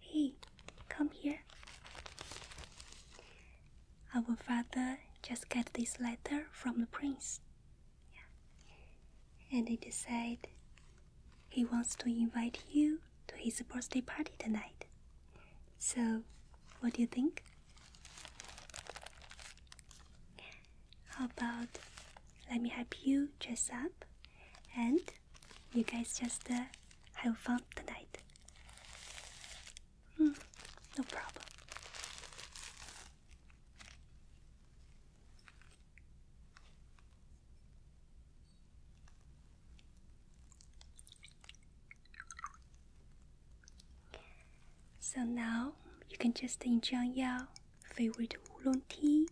Hey, come here. Our father just got this letter from the prince. And he decided he wants to invite you to his birthday party tonight. So, what do you think? How about let me help you dress up and you guys just uh, have fun tonight. Mm, no problem. So now you can just enjoy your favorite oolong tea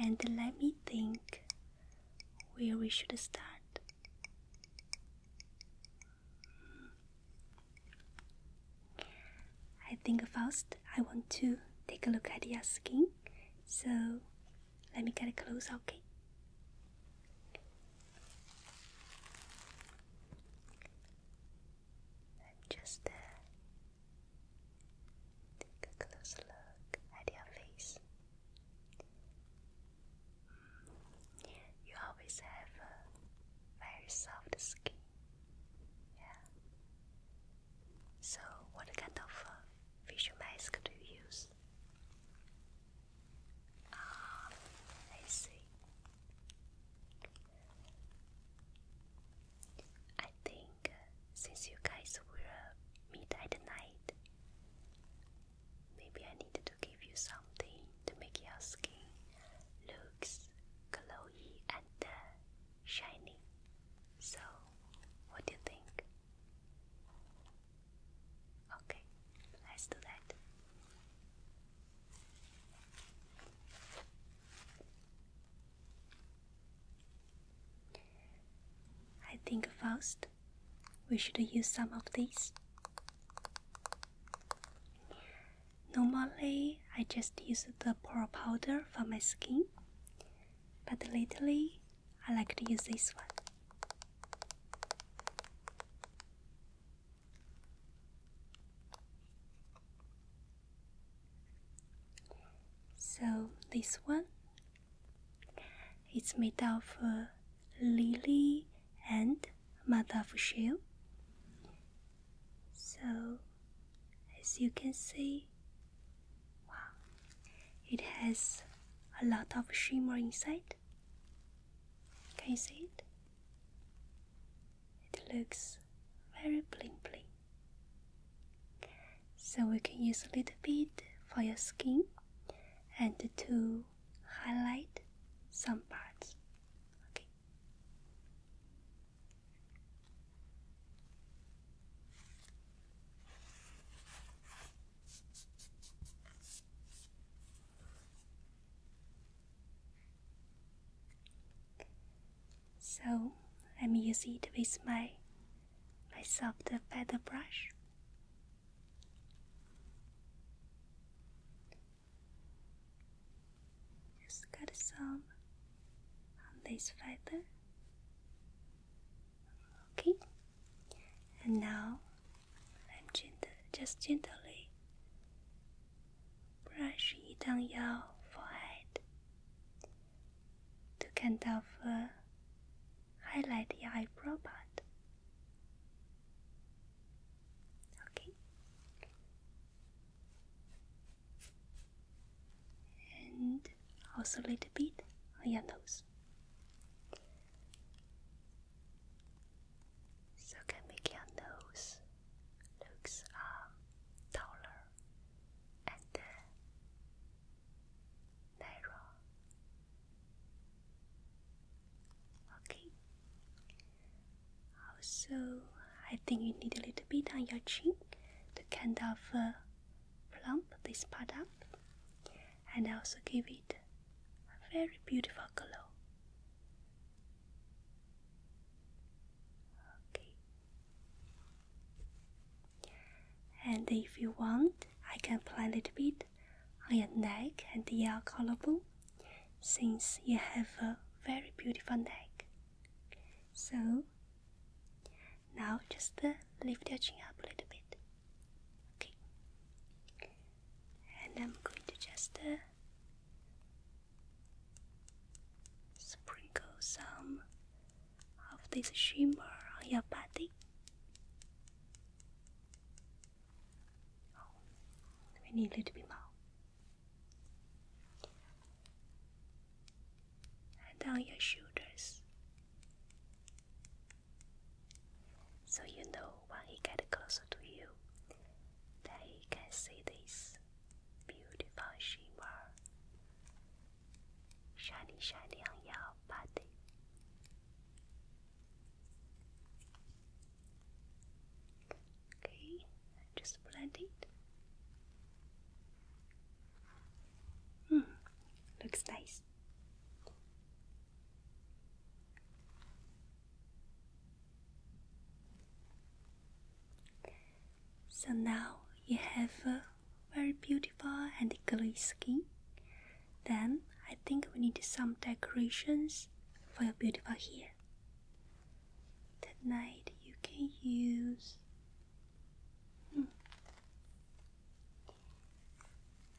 and let me think where we should start. I think first I want to take a look at your skin, so let me get close, okay? I'm just uh, Take a closer look at your face. Mm. You always have a very soft skin. Yeah. So, what kind of uh, facial mask do you use? Ah, I see. I think since you guys will meet at night, maybe I need to give you something to make your skin looks glowy and uh, shiny. So, what do you think? Okay, let's do that. I think first we should use some of these. Normally, I just use the pore powder for my skin, but lately, I like to use this one. So, this one it's made of uh, lily and mother of shell. So, as you can see, wow, it has a lot of shimmer inside. Can you see it? It looks very bling bling. So we can use a little bit for your skin and to highlight some parts. Okay. So I'm using it with my I soft feather brush. Just got some on this feather. Okay, and now I'm gentle, just gently brush it on your forehead to kind of uh, highlight the eyebrow part. Okay. And also a little bit on your nose. So can make your nose looks uh, taller and uh, narrow. Okay. Also, I think you need a little bit on your chin to kind of uh, plump this part up and also give it a very beautiful glow. Okay. And if you want, I can play a little bit on your neck and your collarbone since you have a very beautiful neck. So now just uh, lift your chin up a little bit. Okay. And I'm going to just uh, sprinkle some of this shimmer on your body. Oh, we a little bit more. And on your shoulders. So you know when he gets closer to you that he can see this beautiful shimmer 闪你闪亮幺八的。Okay, just blend it. Hmm, looks nice. So now you have a very beautiful beautiful and glowy skin. Then I think we need some decorations for your beautiful hair. Tonight you can use. Hmm.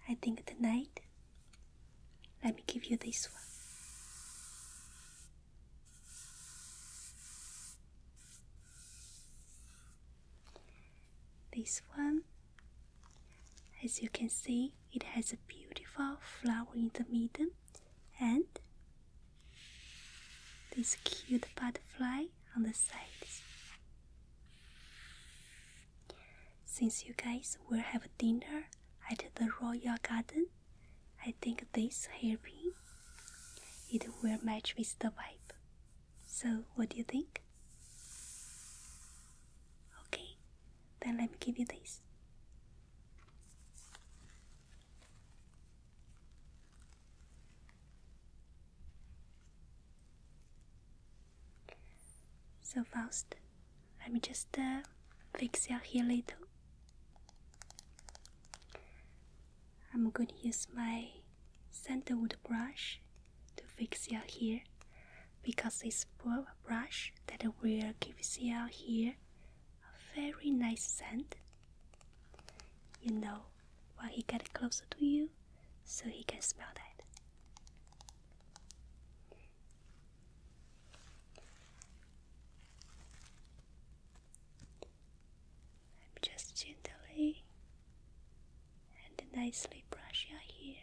I think tonight, let me give you this one. This one, as you can see, it has a beautiful flower in the middle and this cute butterfly on the sides. Since you guys will have dinner at the Royal Garden, I think this hairpin it will match with the vibe. So, what do you think? Okay, then let me give you this. So, first, let me just uh, fix your hair a little. I'm going to use my sandalwood brush to fix your hair because it's this a brush that will give your hair a very nice scent. You know, when he gets closer to you, so he can smell that. I'm just gently and nicely brush your hair.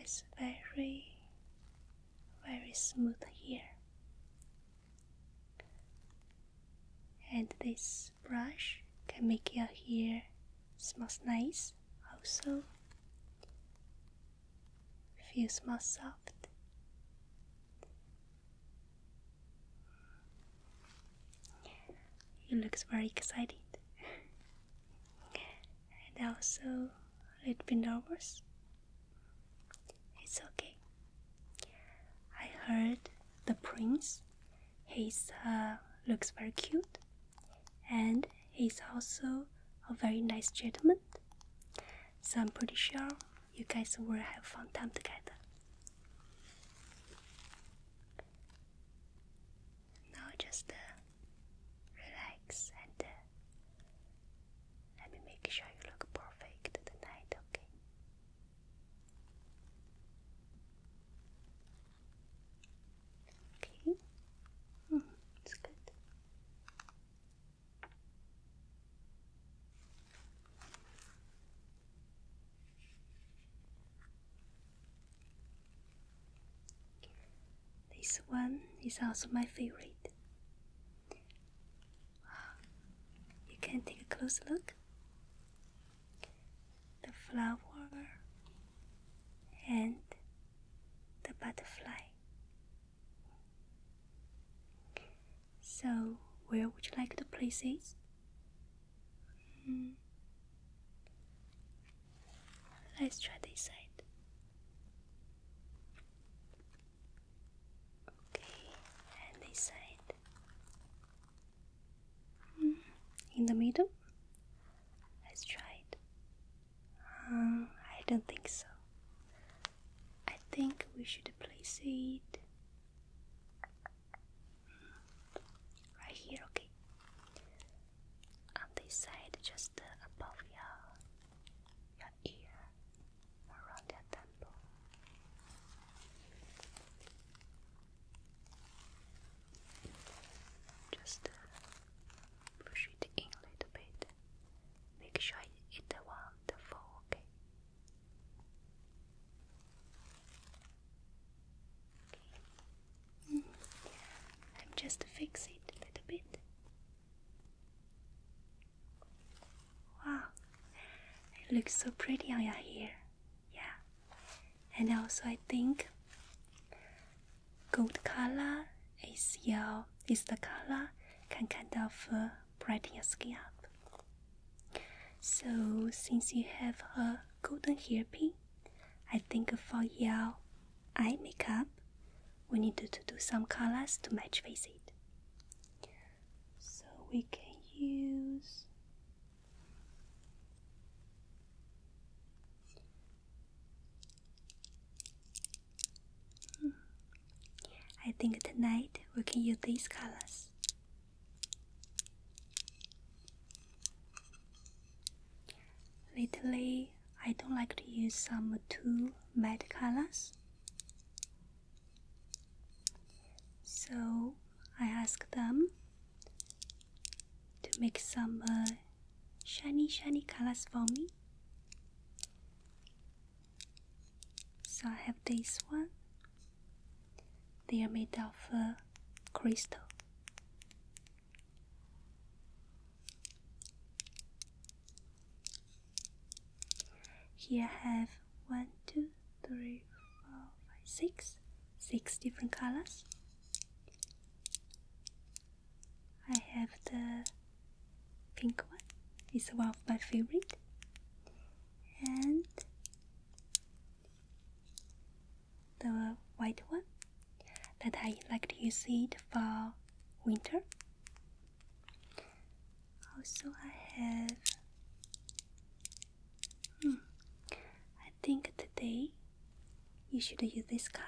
Yes, very, very smooth hair. And this brush can make your hair smells nice also feels more soft he looks very excited and also a little bit nervous. It's okay. I heard the prince. He's uh, looks very cute, and he's also a very nice gentleman. So I'm pretty sure you guys will have fun time together. Now just uh, relax and uh, let me make sure you look perfect tonight, okay? Okay, mm, it's good. This one is also my favorite. You can take a close look. The flower and the butterfly so, where would you like the places? Mm. Let's try this side. Okay, and this side. Mm. In the middle? Let's try it. Um, I don't think so. I think we should place it right here, okay? On this side, just above your, your ear, around your temple. Just uh, push it in a little bit. Make sure it won't fall, okay? I'm just fix it a little bit. Wow, it looks so pretty on your hair. Yeah, and also I think gold color is your is the color can kind of uh, brighten your skin up. So, since you have a golden hairpin, I think for your eye makeup, we need to do some colors to match with it. So, we can use I think tonight we can use these colors. Lately, I don't like to use some too matte colors. So I asked them to make some uh, shiny, shiny colors for me. So I have this one. They are made of crystal. Here I have one, two, three, four, five, six, six different colors. I have the pink one is one of my favorite and the white one that I like to use it for winter also I have hmm, I think today you should use this color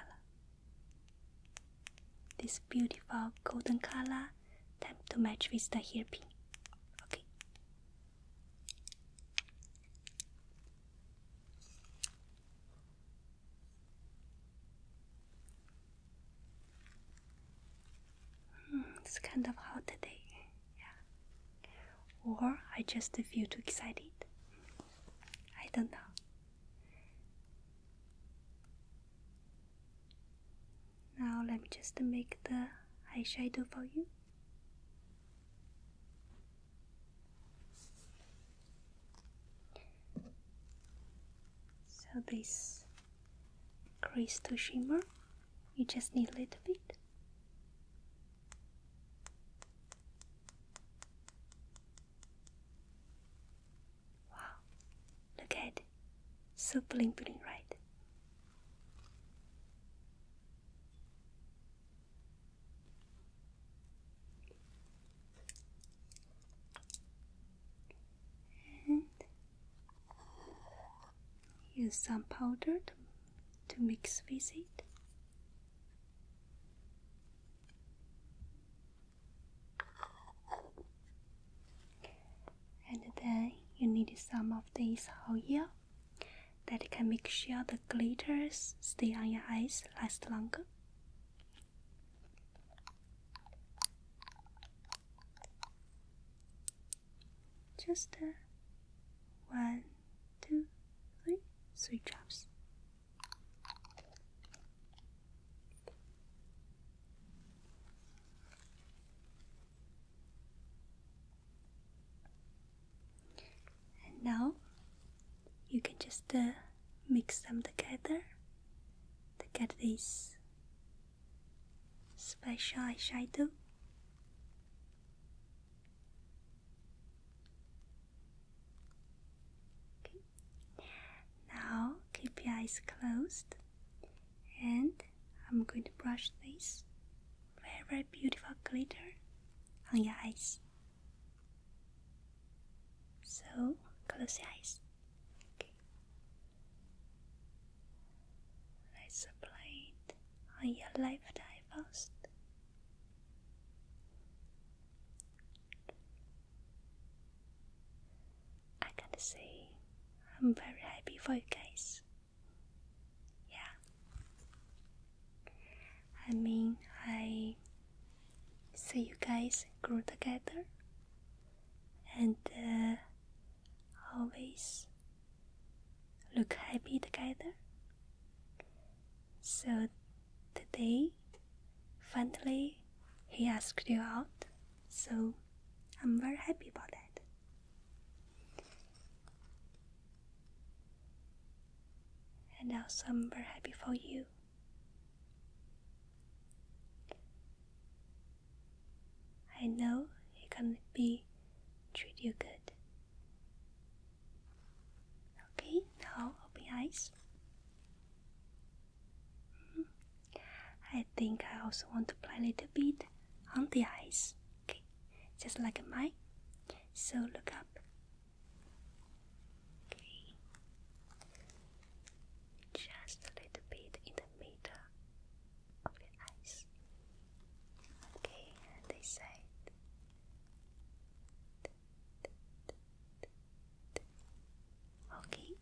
this beautiful golden color Time to match with the hair pin. Okay. Hmm, it's kind of hot today. Yeah. Or I just feel too excited. I don't know. Now let me just make the eyeshadow for you. So this crease to shimmer, you just need a little bit. Wow, look at it. So bling right? And use some powder to mix with it and then you need some of this oil that can make sure the glitters stay on your eyes last longer. Just uh, one, two, three, three drops. And now you can just uh, mix them together to get this special eyeshadow. Okay. Now keep your eyes closed and I'm going to brush this very very beautiful glitter on your eyes. So close your eyes. Okay. Let's apply it on your left eye first. I gotta say, I'm very happy for you guys. Yeah. I mean, I see you guys grew together and uh, always look happy together. So today, finally, he asked you out so I'm very happy about that. And also, I'm very happy for you. I know he can be treat you good. Okay, now open your eyes. Mm I think I also want to play a little bit on the eyes, okay? Just like mine. So look up. Okay. Just a little bit in the middle of the eyes. Okay, this side. Okay,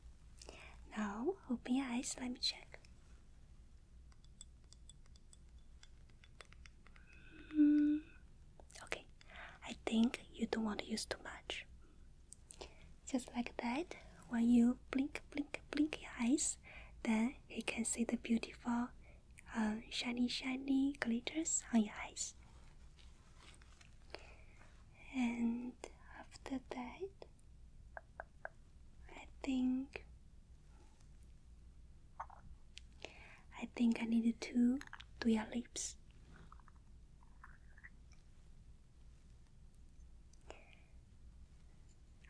now open your eyes, let me check. Hmm, okay, I think you don't want to use too much. Just like that, when you blink, blink, blink your eyes, then you can see the beautiful uh, shiny, shiny glitters on your eyes. And after that, I think I think I need to do your lips.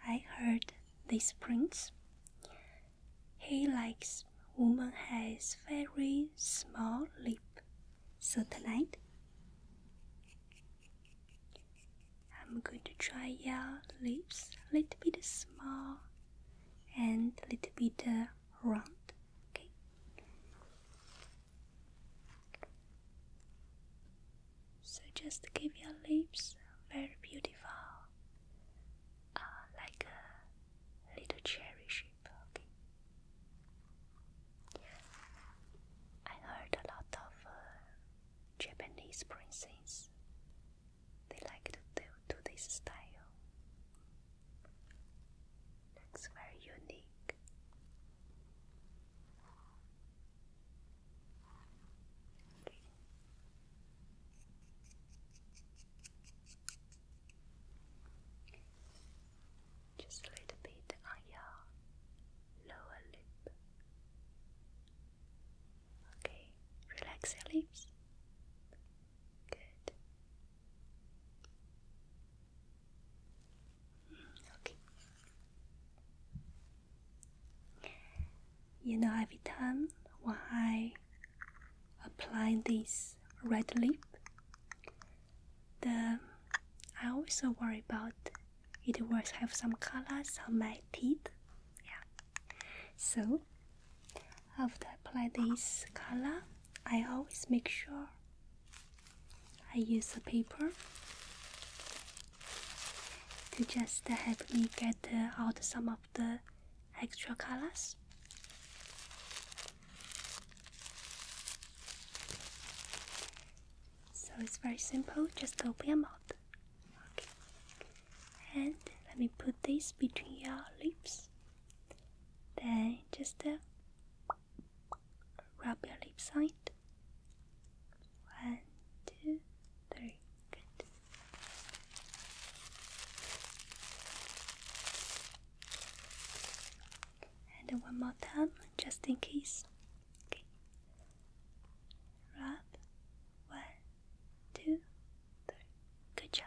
I heard this prince. He likes woman has very small lip. So tonight I'm going to try your lips a little bit small and a little bit uh, round. Okay. So just give your lips very beautiful, uh, like a little cherry shape. Okay. I heard a lot of uh, Japanese princess. They like to do, this style. Looks very unique. Just a little bit on uh, your lower lip. Okay, relax your lips. Good. Okay. You know, every time when I apply this red lip, the I always worry about it will have some colors on my teeth. Yeah. So after I apply this color, I always make sure I use a paper to just help me get out some of the extra colors. So it's very simple, just open your mouth. Okay. And let me put this between your lips. Then just uh, rub your lips on One, two, three. Good. And one more time, just in case. Okay. One, two, three. Good job.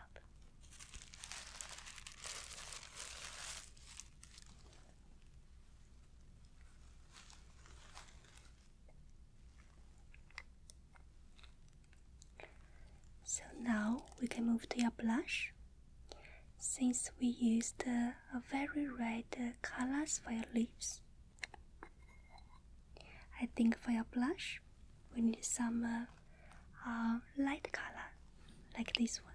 So now we can move to your blush. Since we used uh, a very red uh, colors for your lips, I think for your blush, we need some uh, uh, light color like this one.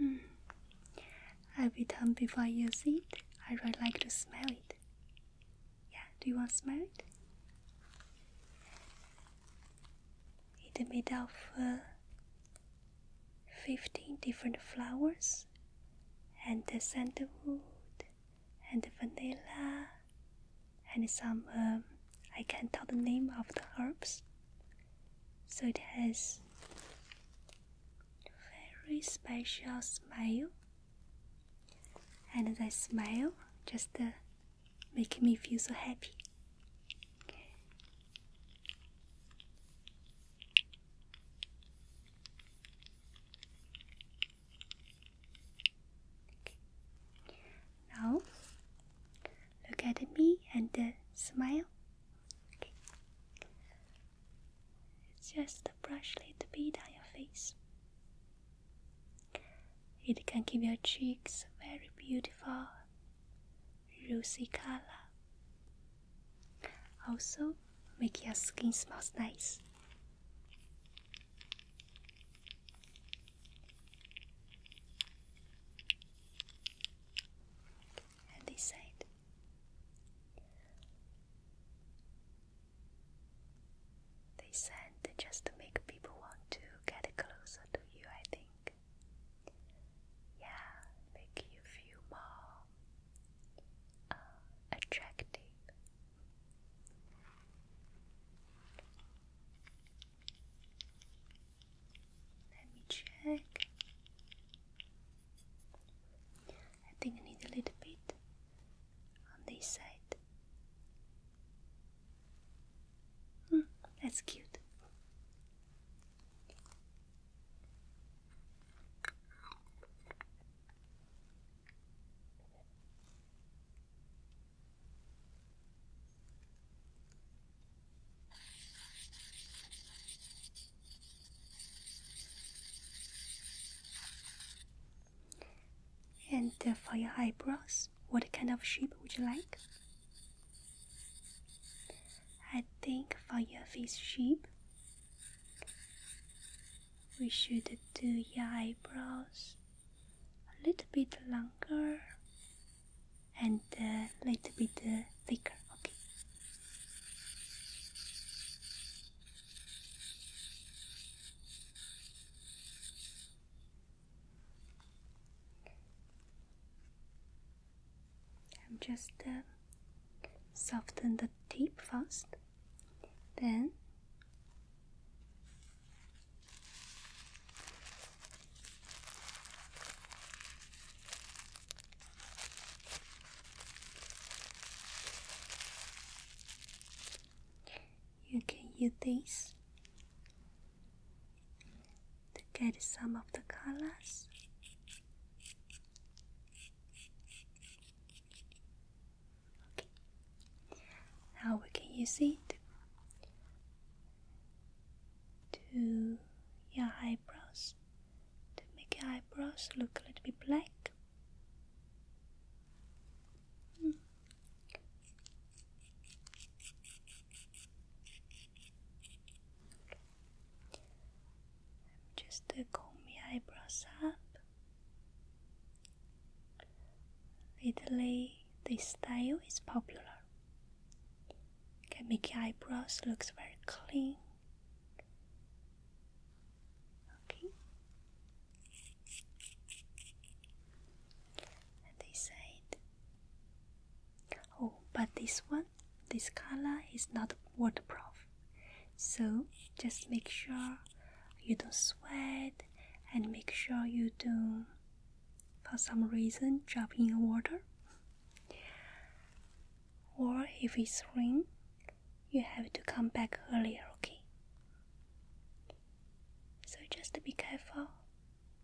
Mm. Every time before I use it, I really like to smell it. Yeah, do you want to smell it? It's made of 15 different flowers and uh, sandalwood and vanilla and some, um, I can't tell the name of the herbs. So it has very special smell and the smile just uh, make me feel so happy. Now look at me and uh, smile. Okay. Just brush a little bit on your face. It can give your cheeks very beautiful rosy color. Also, make your skin smells nice. And this side. They send just to make people want to get closer to you, I think. Yeah, make you feel more uh, attractive. Let me check. I think I need a little bit on this side. Hmm, that's cute. And uh, for your eyebrows, what kind of shape would you like? I think for your face shape, we should do your eyebrows a little bit longer and a uh, little bit uh, thicker. Okay. I'm just uh, soften the tip first, then you can use this to get some of the colors. Okay. Now we can use it to your eyebrows to make your eyebrows look a little bit black just to comb my eyebrows up. Lately, this style is popular. Can make eyebrows looks very clean Okay. And this side. Oh, but this one, this color is not waterproof. So just make sure you don't sweat and make sure you don't for some reason drop in the water. Or if it's rain, you have to come back earlier, okay? So just be careful,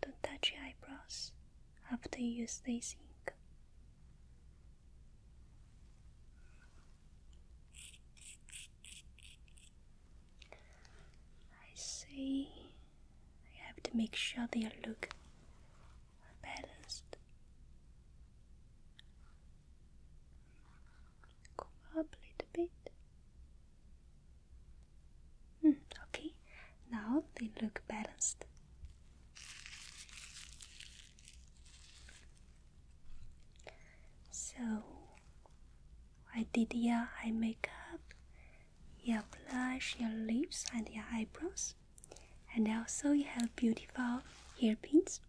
don't touch your eyebrows after you use this ink. I see. I have to make sure they look balanced. Go up a little bit. Hmm, okay, now they look balanced. So I did your eye makeup, your blush, your lips, and your eyebrows, and also you have beautiful hairpins.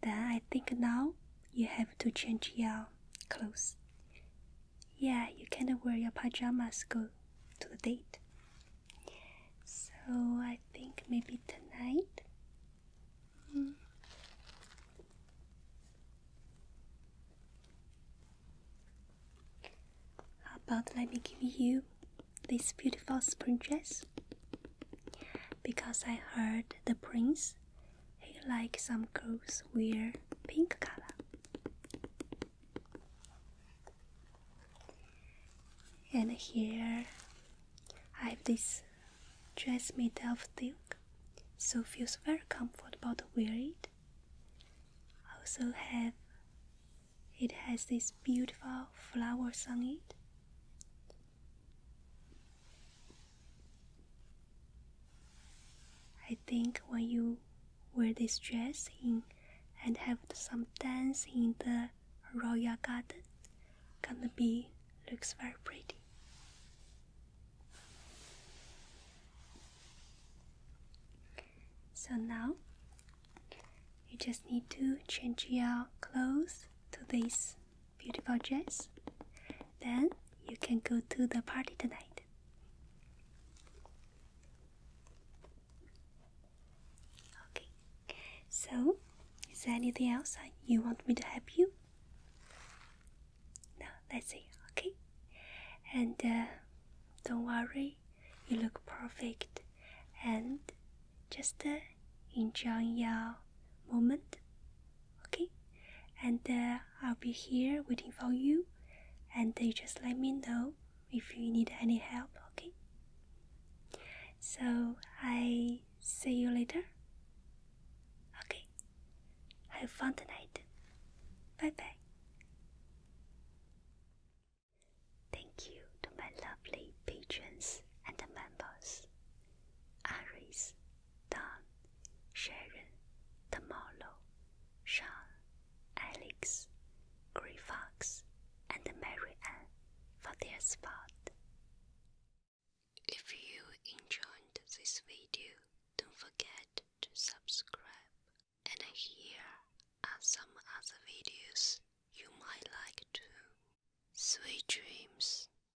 Then I think now you have to change your clothes. Yeah, you can't wear your pajamas go to the date. So I think maybe tonight. Mm. How about let me give you this beautiful spring dress? Because I heard the prince I like some clothes wear pink color. And here I have this dress made of silk, so feels very comfortable to wear it. Also have it has these beautiful flowers on it. I think when you wear this dress in and have some dance in the royal garden, gonna be looks very pretty. So now you just need to change your clothes to this beautiful dress, then you can go to the party tonight. Okay, so is there anything else you want me to help you? No, let's it, okay? And uh, don't worry, you look perfect and just uh, enjoy your moment okay and uh, i'll be here waiting for you and uh, you just let me know if you need any help okay so i see you later okay have fun tonight bye bye Thank you to my lovely patrons and members. Aries Don, Sharon, Tamalo, Sean, Alex, Gray Fox, and Mary Ann for their spot. If you enjoyed this video, don't forget to subscribe. And here are some other videos you might like too. Sweet dreams.